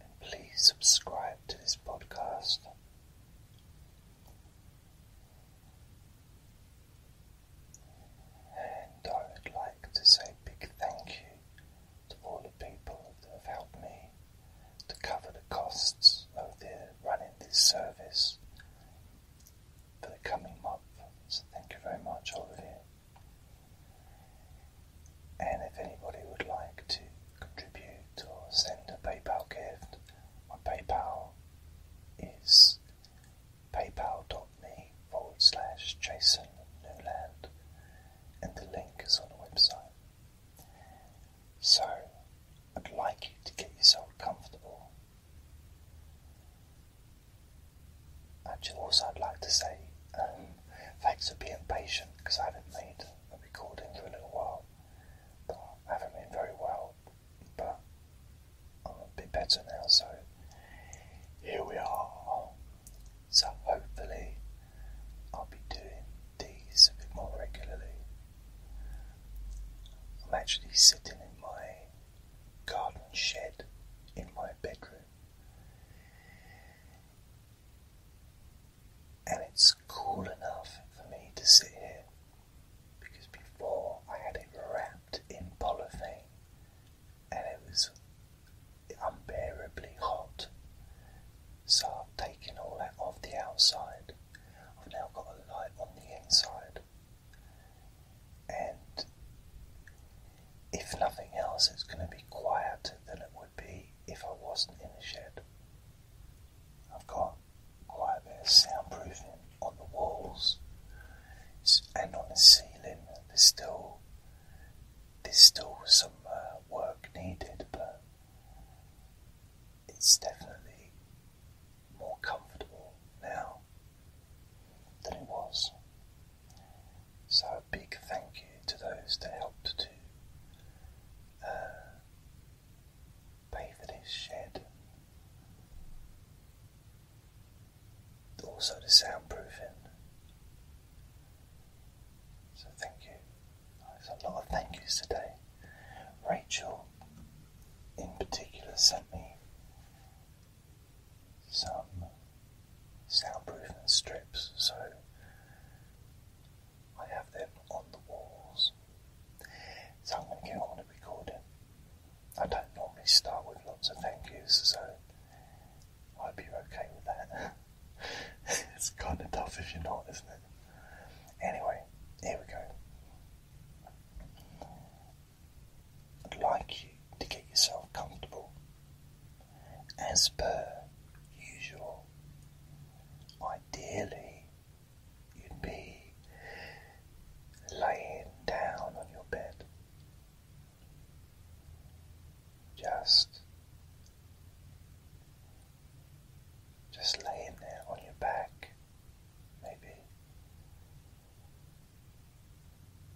and please subscribe to this podcast. And I would like to say a big thank you to all the people that have helped me to cover the costs of running this service for the coming month. So thank you very much, all of you. And if anybody would like to contribute or send a PayPal gift, my PayPal is paypal.me forward slash Jason Newland, and the link is on the website. So I'd like you to get yourself comfortable. Actually, also I'd like to say um, thanks for being patient because I haven't made a recording for a little while. But haven't been very well, but I'm a bit better now, so here we are. So hopefully, I'll be doing these a bit more regularly. I'm actually sitting in my garden shed in my bedroom and it's cool enough for me to sit here because before I had it wrapped in polythene and it was unbearably hot. So I've taken all that off the outside. I've now got a light on the inside. And if nothing else, it's going to be quieter than it would be if I wasn't in the shed. I've got quite a bit of soundproofing on the walls and on the ceiling. There's still there's still some uh, work needed, but it's definitely more comfortable now than it was. So big thank you to those that helped to uh, pay for this shed. Also, the soundproofing. So, thank you. There's a lot of thank yous today. Rachel, in particular, sent me some soundproofing strips, so I have them on the walls. So I'm going to get on with recording. I don't normally start with lots of thank yous, so I hope you're okay with that. it's kind of tough if you're not, isn't it? Anyway, here we go. I'd like you to get yourself comfortable as per usual. Ideally, you'd be laying down on your bed, just just laying there on your back, maybe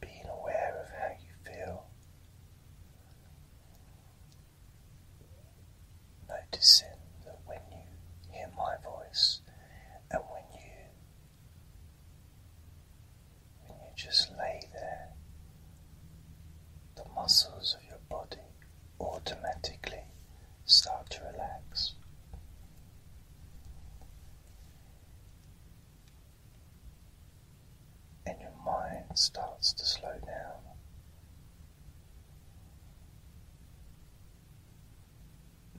being aware of how you feel. Noticing that when you hear my voice and when you when you just lay there, the muscles of your body automatically start to relax and your mind starts to slow down.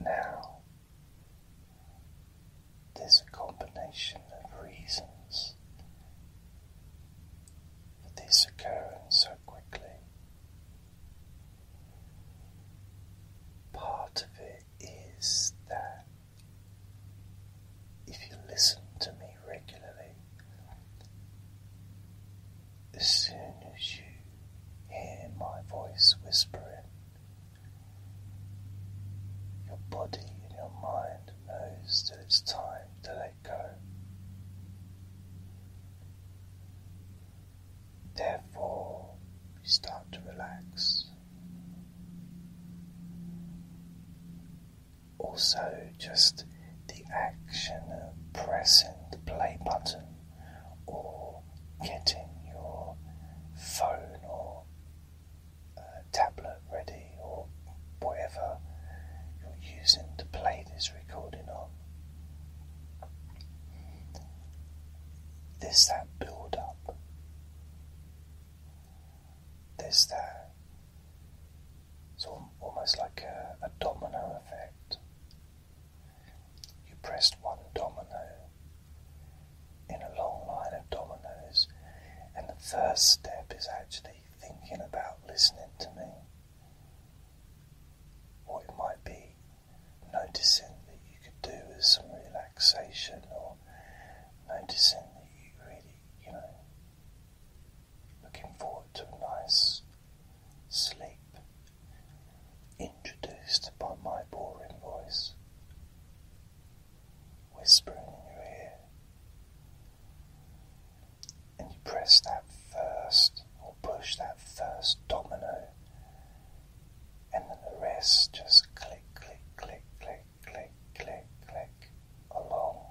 Now, there's a combination of reasons for this occurring so quickly. Part of it is that if you listen to me regularly, as soon as you hear my voice whispering, your body and your mind knows that it's time to let go. Therefore, we start to relax also just the action of pressing the play button or getting your phone or uh, tablet ready or whatever you're using to play this recording on. This that build up. This that it's almost like a, domino effect. You pressed one domino in a long line of dominoes, and the first step is actually thinking about listening to me. Or it might be noticing that you could do with some relaxation or noticing that you really, you know, Looking forward to a nice sleep. Introduced by my boring voice, whispering in your ear, and you press that first or push that first domino, and then the rest just click, click, click, click click, click, click along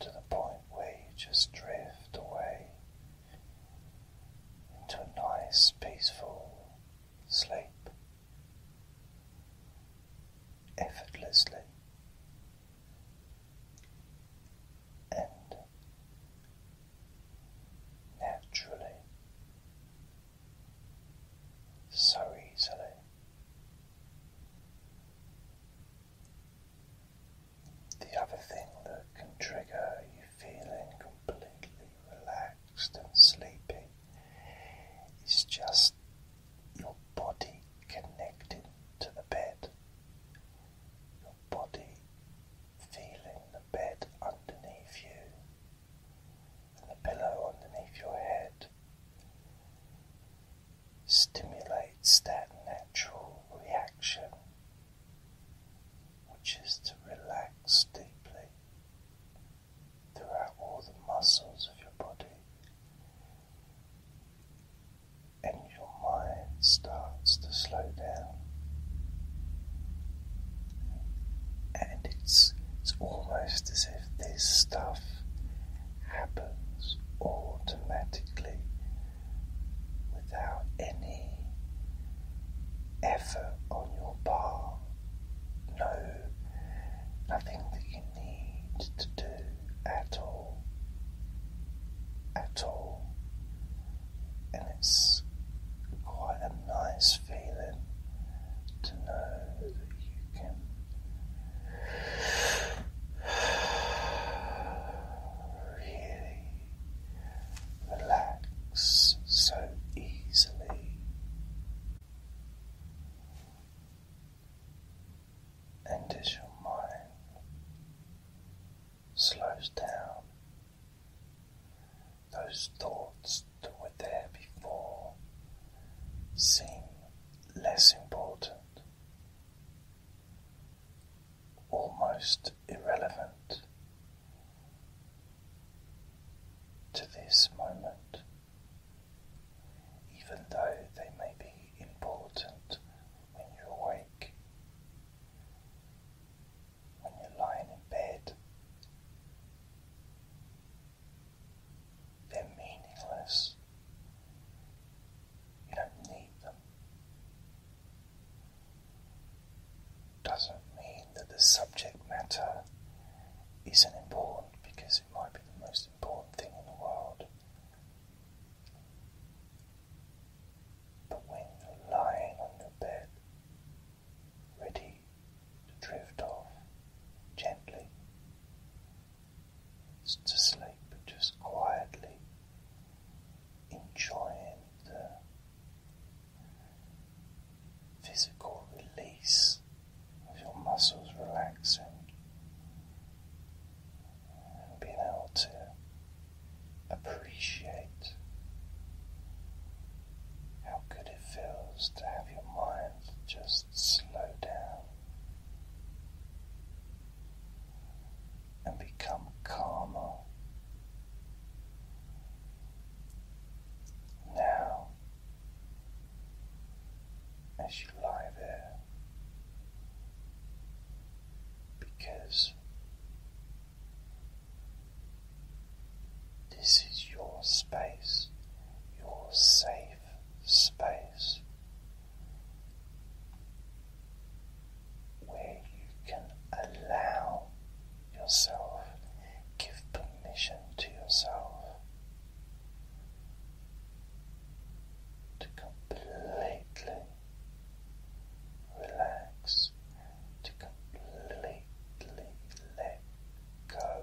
to the point where you just drift away into a nice, peaceful sleep effortlessly. And naturally, so easily. The other thing that can trigger you feeling completely relaxed and sleepy is just your body connected to the bed, your body feeling the bed underneath you and the pillow underneath your head stimulates that natural reaction, which is to relax deeply throughout all the muscles of your body, and your mind starts to slow down. And it's it's almost as if this stuff happens automatically without any effort on your part. No, nothing that you need to do at all. At all. And it's quite a nice feeling to know that you really relax so easily. And as your mind slows down, those thoughts to that were there before seem less important, almost irrelevant to this moment, even though they may be important when you're awake, when you're lying in bed. They're meaningless. You don't need them. Doesn't mean that the subject matter isn't important because it might be the most important thing in the world. But when you're lying on your bed, ready to drift off gently. to sleep but just quietly, enjoying the physical release of your muscles relaxing and being able to appreciate how good it feels to have your mind just slow down and become calmer. Now, as you lie there, because this is your space, your safe space where you can allow yourself, give permission to yourself to completely relax, to completely let go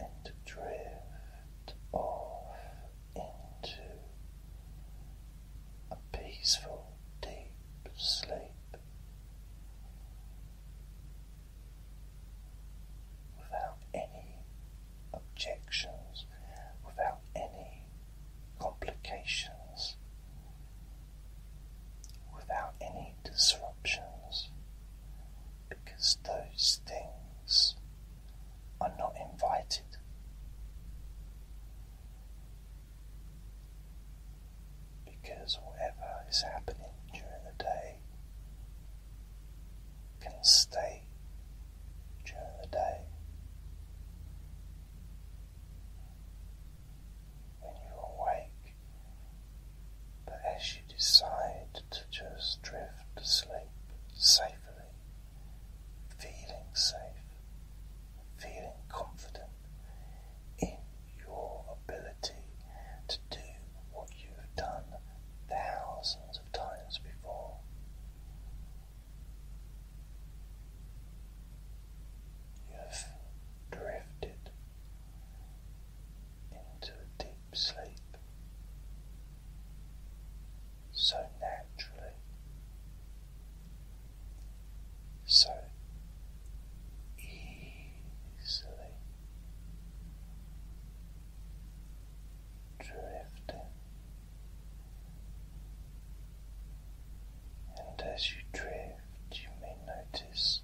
and to drift off into a peaceful, deep sleep without any objections, without any complications without any disruptions because those things are not invited. Because whatever is happening during the day can stay during the day. When you are awake, but as you decide to just drift to sleep safely, feeling safe, feeling confident in your ability to do what you've done thousands of times before. You've drifted into a deep sleep so naturally, so easily drifting. And as you drift, you may notice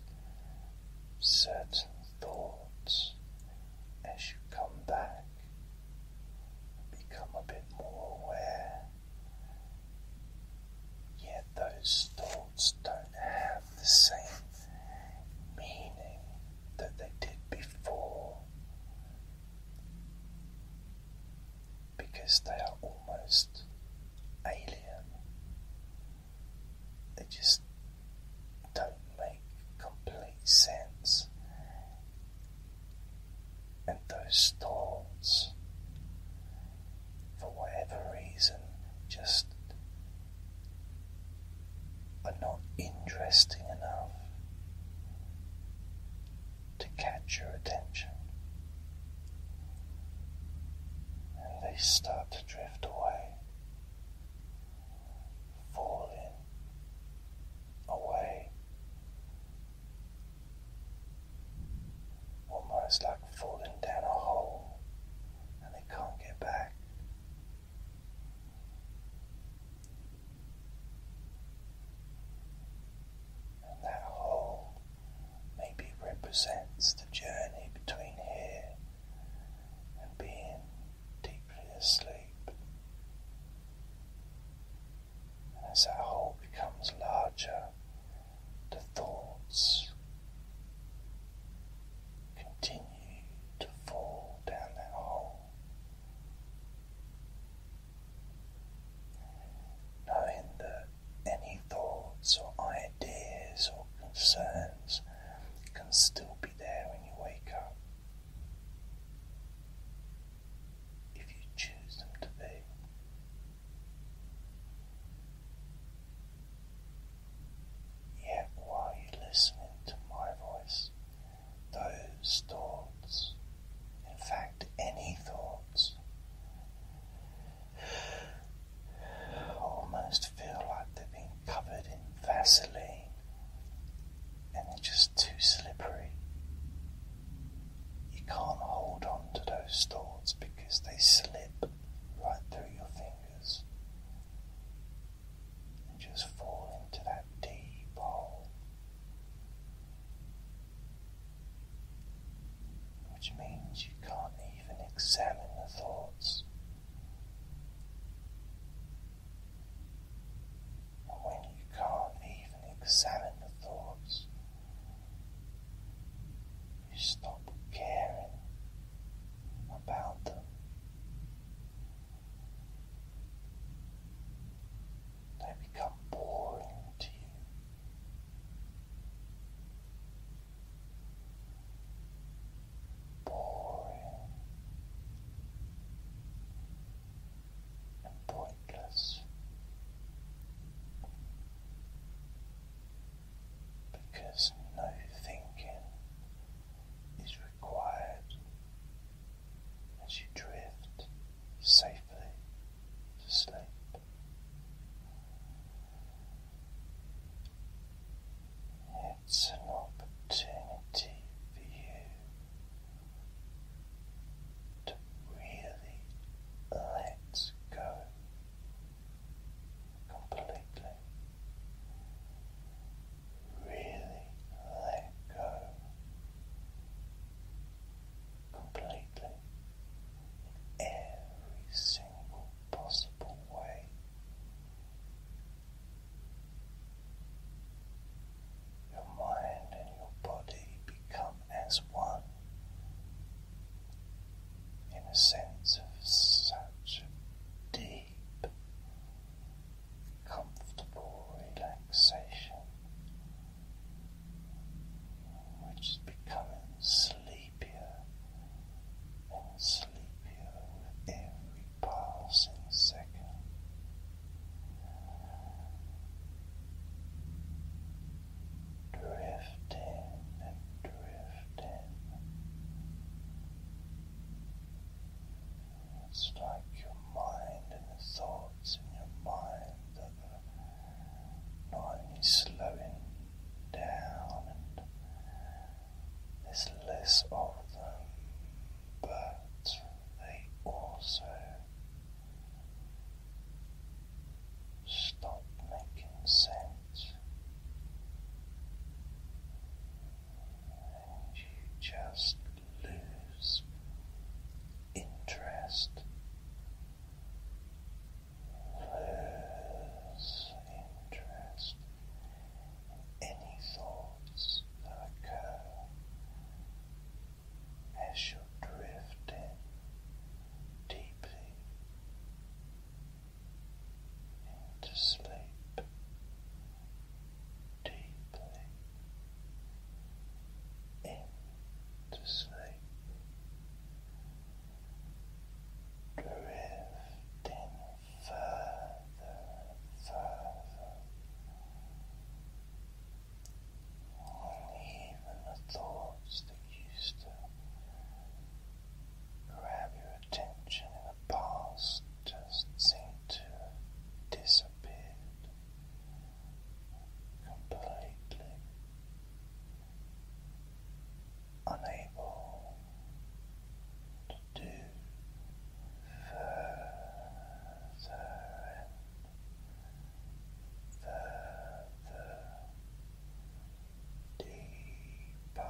certain thoughts as you come back. Become a bit more aware. Yet those thoughts don't have the same meaning that they did before because they are almost alien they just don't make complete sense. And those thoughts, for whatever reason, just are not interesting enough to catch your attention. And they start to drift away falling away, almost like falling down a hole and they can't get back. And that hole maybe represents the journey between here and being deeply asleep. And as that hole becomes larger, the thoughts continue to fall down that hole. Knowing that any thoughts or ideas or concerns can still be there when you wake up. If you choose them to be. Yet while you're listening to my voice, those thoughts, in fact, any thoughts, almost feel like they are being covered in Vaseline and they're just too slippery. You can't hold on to those thoughts because they slip right through your fingers and just fall into that deep hole. Which means you can't even examine the thoughts. And when you can't even examine the thoughts, you stop caring about them. They become boring to you boring and pointless because no thinking is required as you drift safely to sleep. It's an opportunity for you to really let go completely, really let go completely every single possible way. Your mind and your body become as one in a sense of such deep, comfortable relaxation, which is sleep sleepier and sleepier with every passing second. Drifting and drifting. It's like your mind and the thoughts in your mind that are not only slowing down, there's less of them, but they also stop making sense, and you just lose interest lose interest any thoughts that occur as you're drifting deeply into sleep. Deeply into sleep, drifting further further, and even the thoughts that used to grab your attention in the past just seem to disappear completely unable to do further further deeper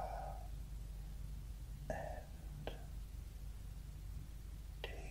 and deeper.